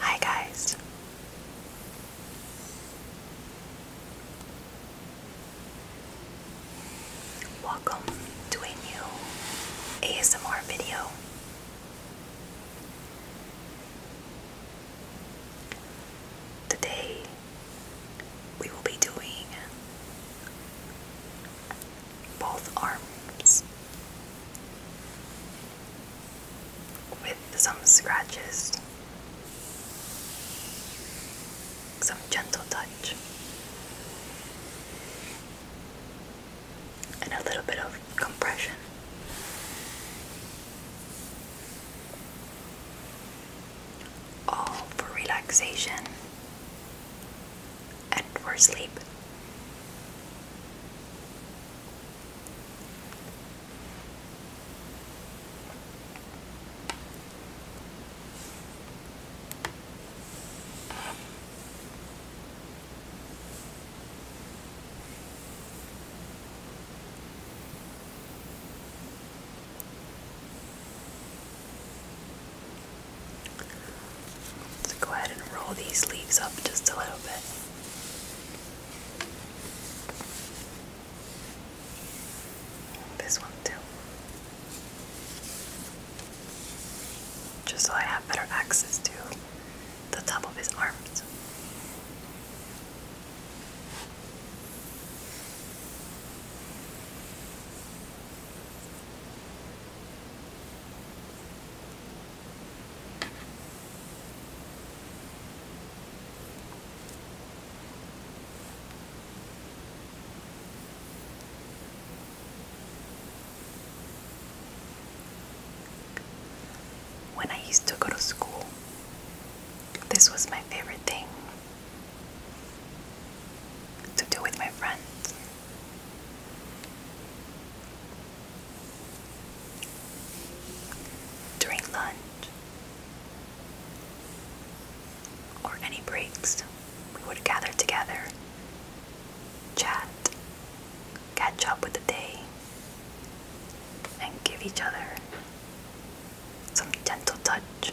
Hi, guys. Welcome to a new ASMR video. Today we will be doing both arms with some scratches, some gentle touch, and a little bit of compression. All for relaxation and for sleep. Let's go ahead and roll these leaves up just a little bit. This one too. Just so I have better access to the top of his arms. When I used to go to school, this was my favorite thing to do with my friends during lunch or any breaks, we would gather together, chat, catch up with the day, and give each other some gentle touch.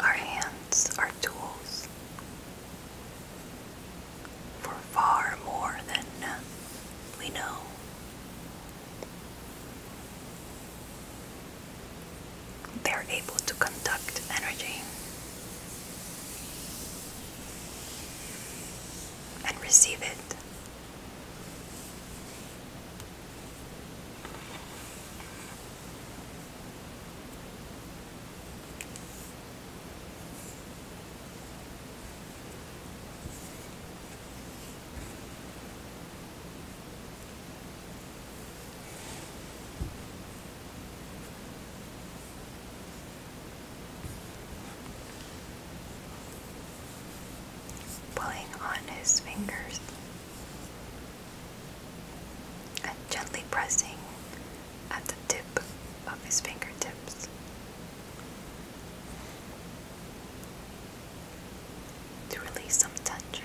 Our hands are tools for far more than uh, we know. They are able to conduct energy and receive it pulling on his fingers and gently pressing at the tip of his fingertips. To release some tension,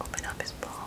Open up his palm.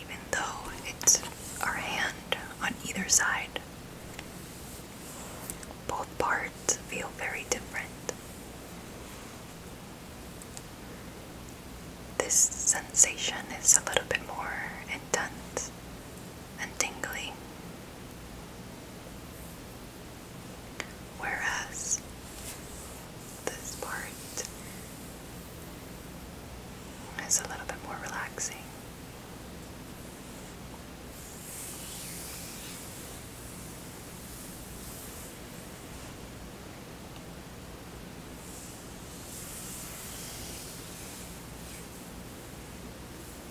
Even though it's our hand on either side, both parts feel very different. This sensation is a little bit more intense and tingly. Whereas this part is a little bit more relaxing.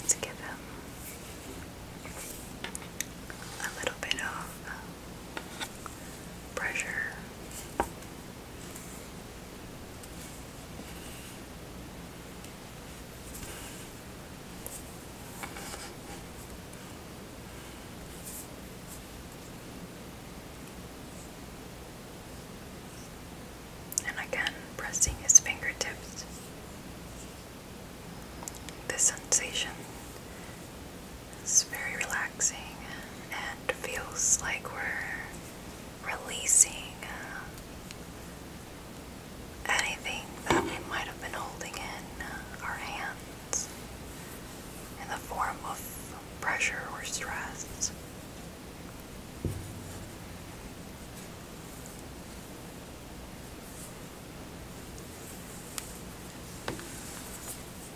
Let's give him a little bit of uh, pressure. And again, pressing his fingertips. The sensation it's very relaxing and feels like we're releasing um, anything that we might have been holding in uh, our hands in the form of pressure or stress.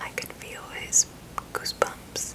I could feel his goosebumps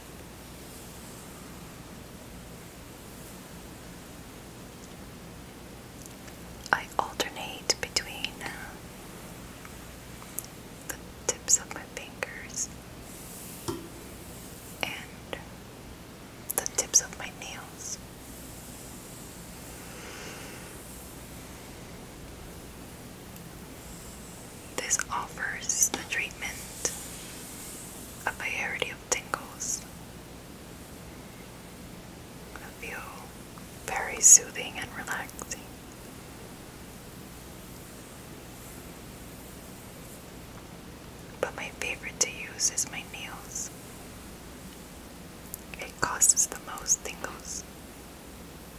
I alternate between uh, the tips of my fingers and the tips of my nails. This offers the treatment a variety of tingles that feel very soothing and relaxing. But my favorite to use is my nails. It causes the most tingles.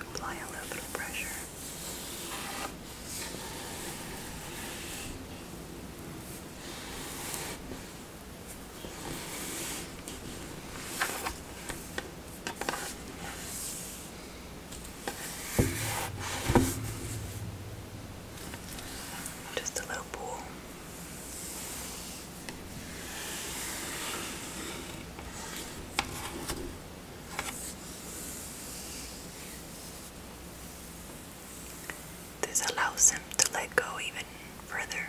apply a little bit of pressure. Just a little pool. This allows him to let go even further.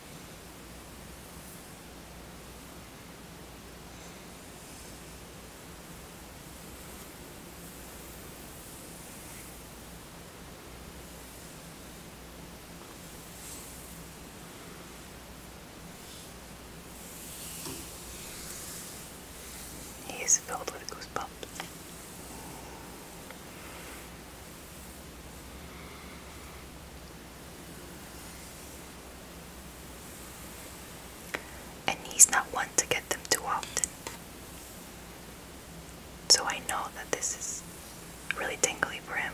He is filled with goosebumps. And he's not one to get them too often. So I know that this is really tingly for him.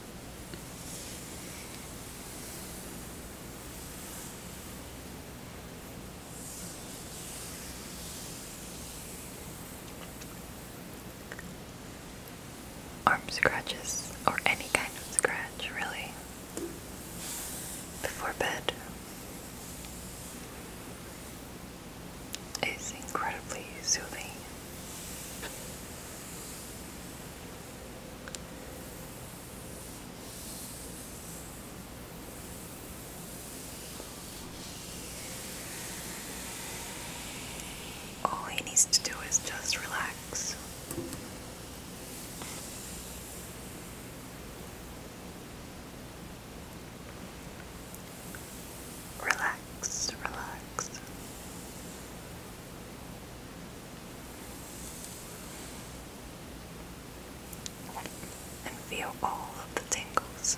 Arm scratches, or any kind of scratch, really. Before bed is incredibly soothing. All he needs to do is just relax. Relax, relax and feel all of the tingles.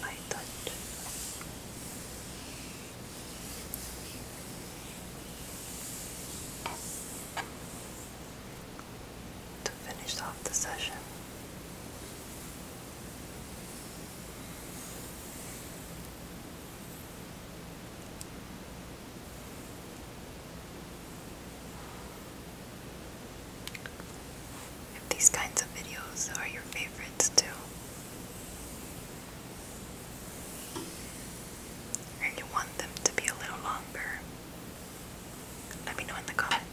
I thought to finish off the session. If these kinds of videos are your favorites too, and you want them to be a little longer, let me know in the comments.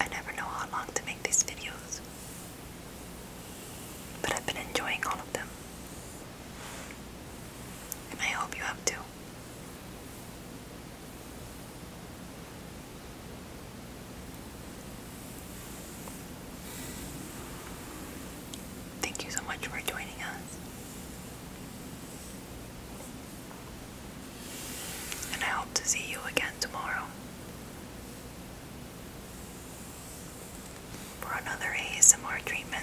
I never know how long to make these videos, but I've been enjoying all of them. And I hope you have too. Thank you so much for joining us. And I hope to see you again tomorrow for another ASMR treatment.